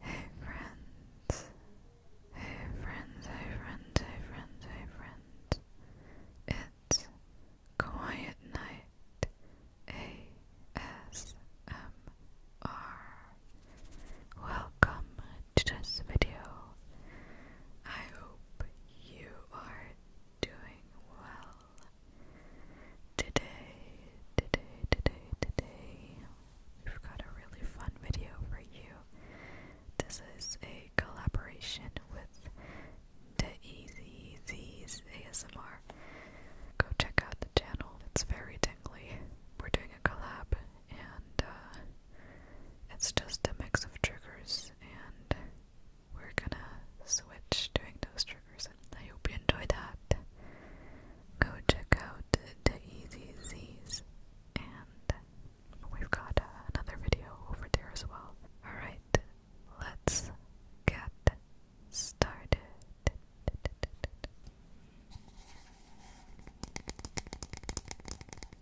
Hey friends, hey friends, hey friends, hey friends, It's Quiet Night ASMR. Welcome to this video. I hope you are doing well. Today, today, today, today, we've got a really fun video for you. This is a collaboration with the Easy Z's ASMR. Go check out the channel, it's very tingly. We're doing a collab, and uh, it's just a mix of triggers, and we're gonna switch doing those triggers. I hope you enjoy that. Go check out the Easy Z's, and we've got another video over there as well. Alright, let's get started.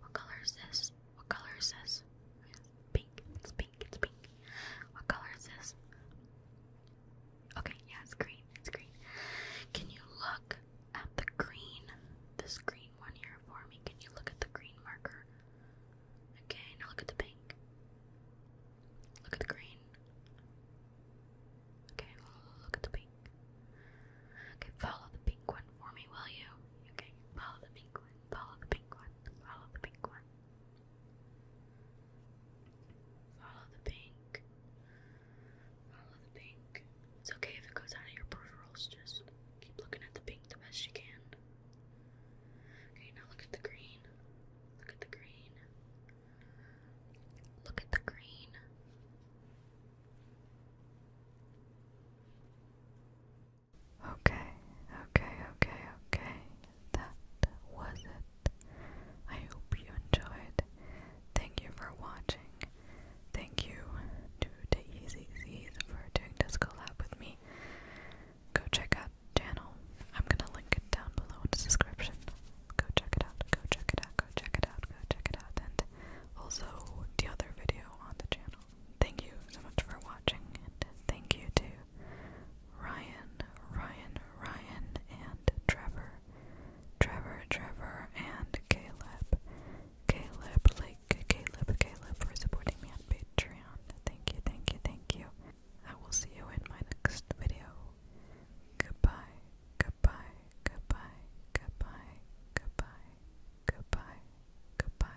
What color is this? What color is this? Pink. It's pink. It's pink. What color is this? Okay, yeah, it's green. It's green. Can you look at the green? This green one here for me. Can you look at the green marker? Okay, now look at the pink. Look at the green. Okay, look at the pink. Okay, follow the pink one for me, will you? Okay, follow the pink one, follow the pink one, follow the pink one. Follow the pink. Follow the pink. It's okay if it goes out of your peripherals, just keep looking at the pink the best you can. Okay, now look at the green. Look at the green. Look at the green. Okay, okay, okay, okay. That was it. I hope you enjoyed. Thank you for watching. Thank you to the Easy Z's for doing this collab with me. Go check out the channel. I'm gonna link it down below in the description. Go check it out, go check it out, go check it out, go check it out, and also the other video on the channel. Thank you so much for watching, and thank you to Ryan, Ryan, Ryan, and Trevor, Trevor, Trevor, and Caleb. Caleb, like Caleb, Caleb for supporting me on Patreon. Thank you, thank you, thank you. I will see you in my next video. Goodbye, goodbye, goodbye, goodbye, goodbye, goodbye, goodbye.